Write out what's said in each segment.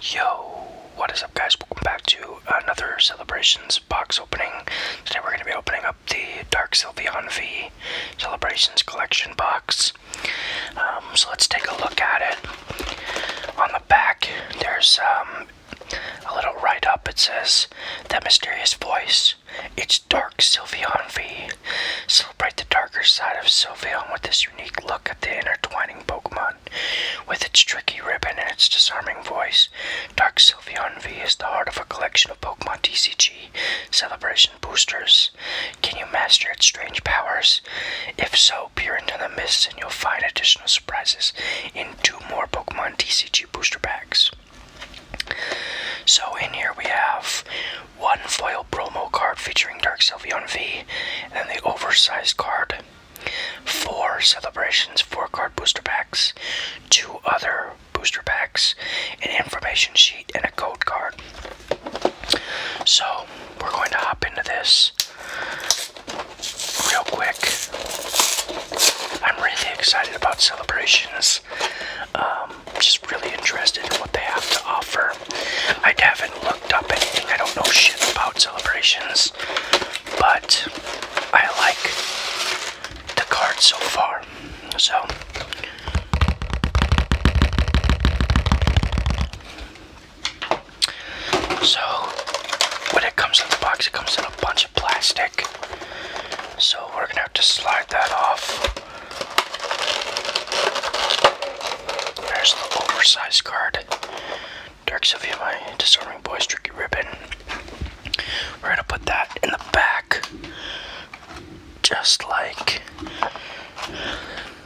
Yo, what is up guys? Welcome back to another Celebrations box opening. Today we're going to be opening up the Dark Sylveon V Celebrations Collection box. Um, so let's take a look at it. On the back, there's um, a little write-up. It says, That mysterious voice, it's Dark Sylveon V. Celebrate the darker side of Sylveon with this unique look at the intertwining Pokemon. With its tricky ribbon and its disarming voice, Dark Sylveon V is the heart of a collection of Pokemon TCG celebration boosters. Can you master its strange powers? If so, peer into the mists and you'll find additional surprises in two more Pokemon TCG booster packs. So in here we have one foil promo card featuring Dark Sylveon V, and the oversized card. Four celebrations, four card booster packs, two other booster packs, an information sheet, and a code card. So we're going to hop into this real quick. I'm really excited about celebrations. Um, really interested in what they have to offer. I haven't looked up anything. I don't know shit about celebrations, but I like the card so far. So. So, when it comes in the box, it comes in a bunch of plastic. So, we're gonna have to slide that off. There's the oversized card. Dark Sylvia, my disarming boy's tricky ribbon. We're gonna put that in the back. Just like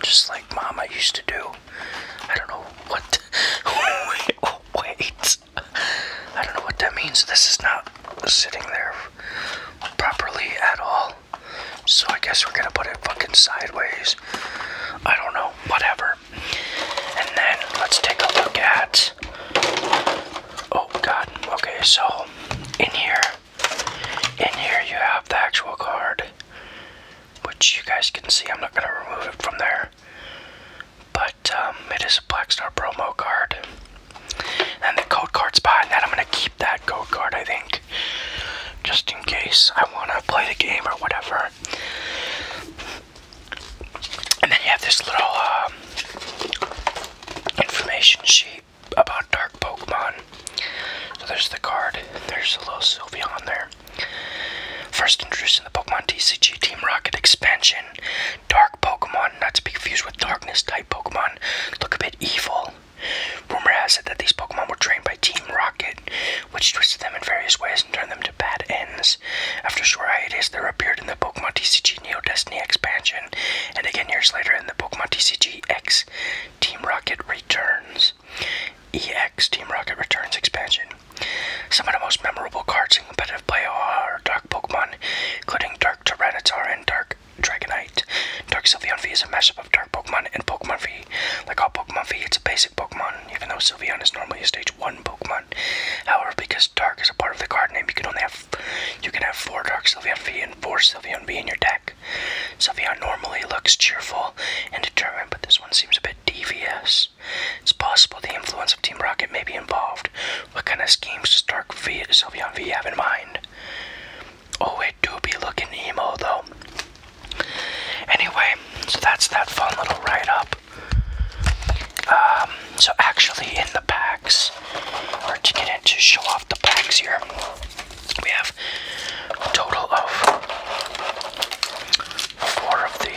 just like mama used to do. I don't know what wait, oh, wait. I don't know what that means. This is not sitting there properly at all. So I guess we're gonna put it fucking sideways. I don't know, whatever. And then let's take a look at. Oh god, okay, so in here, in here you have the actual card, which you guys can see. I'm not gonna remove it from there, but um, it is a Black Star promo card. And the code card's behind that. I'm gonna keep that code card, I think, just in case I wanna play the game or whatever. And then you have this little um, information sheet about dark Pokemon. So there's the card. There's a little Sylvia on there. First introduced in the Pokemon TCG Team Rocket expansion, Dark Pokemon, not to be confused with Darkness type. Pokemon look a bit evil. Rumor has it that these Pokemon were trained by Team Rocket, which twisted them in various ways and turned them to bad ends. After a short hiatus, they appeared in the Pokemon TCG Neo Destiny expansion, and again years later in the Pokemon TCG X Team Rocket Returns. EX Team Rocket Returns expansion. Some of the most memorable cards in competitive play are Dark Pokemon, including Dark Tyranitar and Dark Dragonite. Dark Sylveon V is a mashup of Dark Pokemon and Pokemon V. Like all Pokemon V, it's a basic Pokemon, even though Sylveon is normally a stage 1 Pokemon. However, because Dark is a part of the card name, you can only have you can have 4 Dark Sylveon V and 4 Sylveon V in your deck. Sylveon normally looks cheerful and determined, but this one seems a bit devious. It's possible the influence of Team Rocket may be involved, what kind of schemes does Dark v, Sylveon V have in mind? Oh, it do be looking emo though. Anyway, so that's that fun little write up. Um, so actually, in the packs, or to get into show off the packs here, we have total of four of these.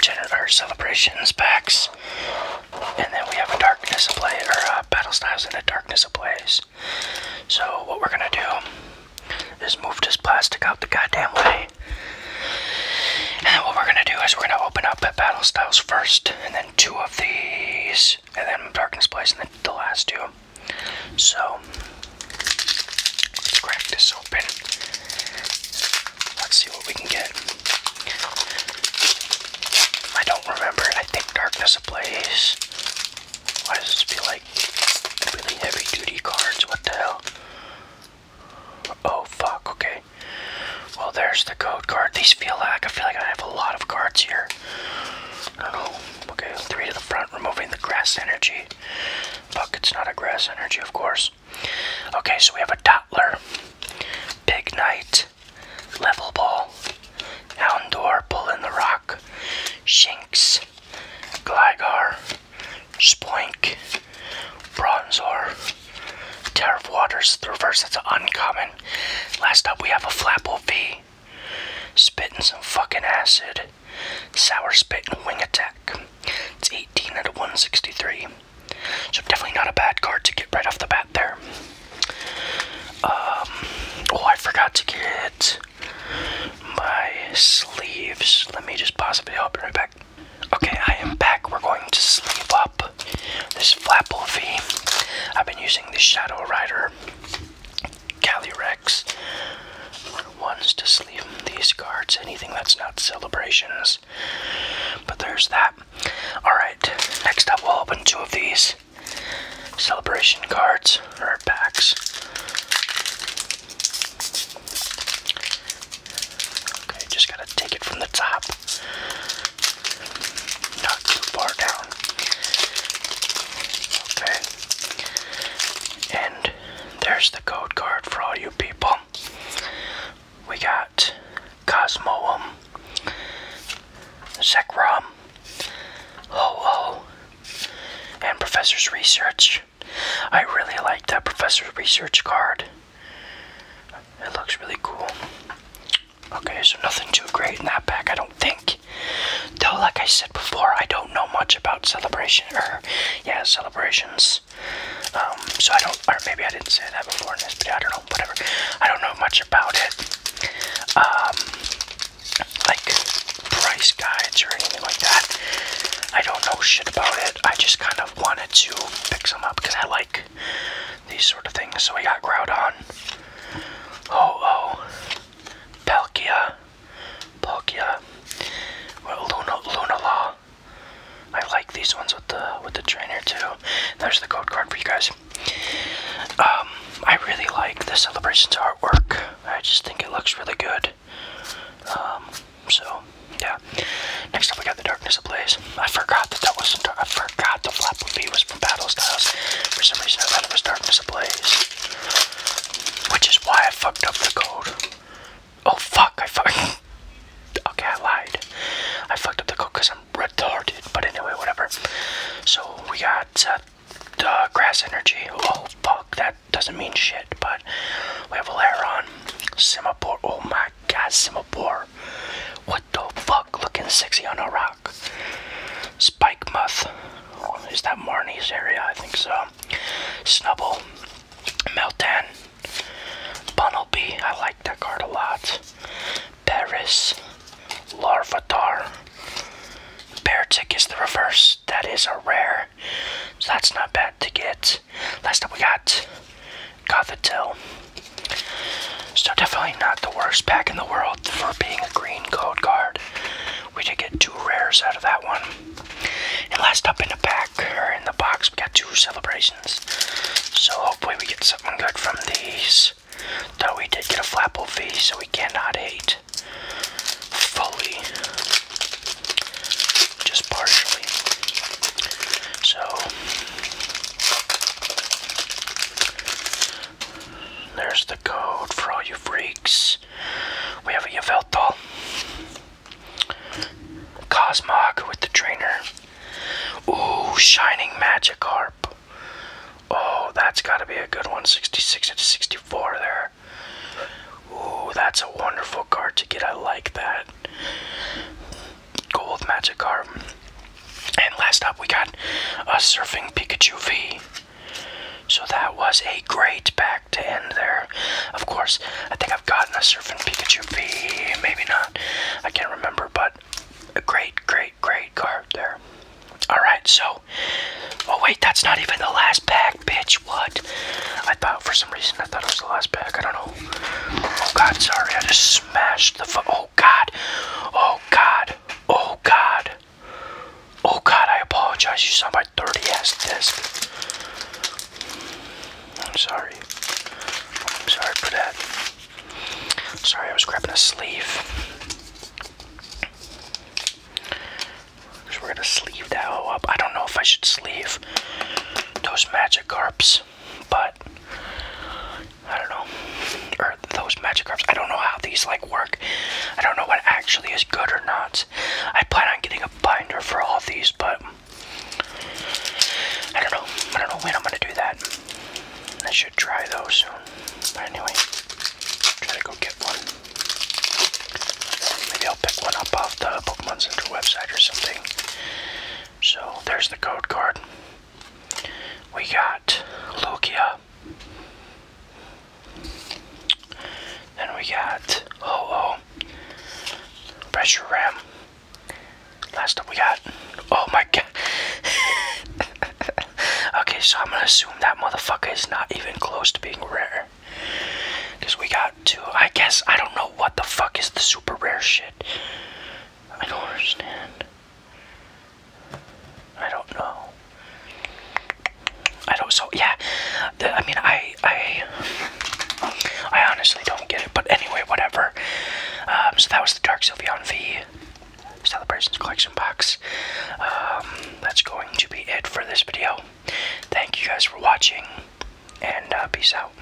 Janitor Celebrations packs. And then we have a Darkness of play, or uh, Battle Styles and a Darkness of Blaze. So what we're gonna do is move this plastic out the goddamn way. And what we're gonna do is we're gonna open up at Battle Styles first, and then two of these, and then Darkness Blaze, and then the last two. So let's crack this Let's see what we can get. I don't remember. I think Darkness Ablaze. Why does this feel like really heavy duty cards? What the hell? Oh fuck, okay. Well there's the code card. These feel like I feel like I have a lot of cards here. I don't know. Okay, three to the front, removing the grass energy. Fuck, it's not a grass energy, of course. Okay, so we have a Dottler, Big Knight, Level Ball, Houndour, Pull in the Rock, Shinx, Gligar, Spoink, Bronzor, Tariff Waters, the reverse, that's uncommon. Last up, we have a Flapple V. Spitting some fucking acid. Sour Spit and Wing Attack. It's 18 out of 163. So definitely not a bad card to get right off the bat there. Um, oh, I forgot to get my sleeves. Let me just possibly open video. right back. Okay, I am back. We're going to sleeve up this Flapple V. I've been using the Shadow Rider Calyrex good ones to sleeve these cards. Anything that's not celebrations. But there's that. Alright, next up we'll open two of these celebration cards or packs. Okay, just gotta take it from the top. Not too far down. Okay. And there's the code card for all you people. We got Cosmoem, Zekrom, Ho-Ho, and Professor's Research. I really like that Professor's Research card. It looks really cool. Okay, so nothing too great in that pack, I don't think. Though, like I said before, I don't know much about celebration or yeah celebrations. Um, so I don't, or maybe I didn't say that before in this video. I don't know. Whatever. I don't know much about it. Um, like price guides or anything like that. I don't know shit about it. I just kind of wanted to pick some up because I like these sort of things. So I got Groudon. Oh oh. Palkia, well, Luna, Lunala. I like these ones with the with the trainer too. There's the code card for you guys. Um, I really like the celebrations artwork. I just think it looks really good. Um, so yeah. Next up, we got the Darkness Ablaze. I forgot that that was. I forgot the Flap would be was from Battle Styles. For some reason, I thought it was Darkness Ablaze. Which is why I fucked up the code. Oh fuck, I fucking. Okay, I lied. I fucked up the code because I'm retarded, but anyway, whatever. So we got uh, uh, grass energy. Oh fuck, that doesn't mean shit, but we have Alaron, Simapore. Oh my god, Simapore. What the fuck? Looking sexy on a rock. Rock. Spike Muth. Is that Marnie's area? I think so. Snubble. Meltan. Bunnelby. I like that card a lot. Paris. Larvatar. Beartick is the reverse. That is a rare. So that's not bad to get. Last up we got Gothitelle. So definitely not the worst pack in the world for being a green code card. We did get two rares out of that one. And last up in the pack, or in the box, we got two celebrations. So hopefully we get something good from these. Though we did get a Flapple V, so we cannot hate fully. Just partially. So there's the code for all you freaks. We have a Yveltal. Cosmog with the trainer. Ooh, Shining Magikarp. Oh, that's gotta be a good one. 66 to 64 there. Ooh, that's a wonderful card to get. I like that. Gold Magikarp. And last up, we got a Surfing Pikachu V. So that was a great pack to end there. Of course, I think I've gotten a Surfing Pikachu V, maybe not. I can't remember, but a great, great, great card there. Alright, so. Oh, wait, that's not even the last pack, bitch. What? I thought for some reason I thought it was the last pack. I don't know. Oh, God, sorry. I just smashed the. Oh, God. Oh, God. Oh God. Oh God, I apologize. You saw my dirty ass disc. I'm sorry. I'm sorry for that. Sorry, I was grabbing a sleeve. Because we're going to sleeve that up. I don't know if I should sleeve those Magikarps but I don't know. Or those magic cards. I don't know how these like work. I don't know what actually is good or not. I plan on getting a binder for all of these, but I don't know. I don't know when I'm gonna do that. I should try those soon. But anyway, try to go get one. Maybe I'll pick one up off the Pokemon Center website or something. So there's the code card. We got Lugia. Then we got Ho-Oh. Oh, Pressure Ram. Last up we got. Oh my god. okay, so I'm gonna assume that motherfucker is not even close to being rare. Because we got two. I guess I don't know what the fuck is the super rare shit. I don't understand. I don't know. I don't. So yeah, I mean, I, I, I honestly don't get it. But anyway, whatever. Um, so that was the Dark Sylveon V Celebrations Collection box. Um, that's going to be it for this video. Thank you guys for watching, and uh, peace out.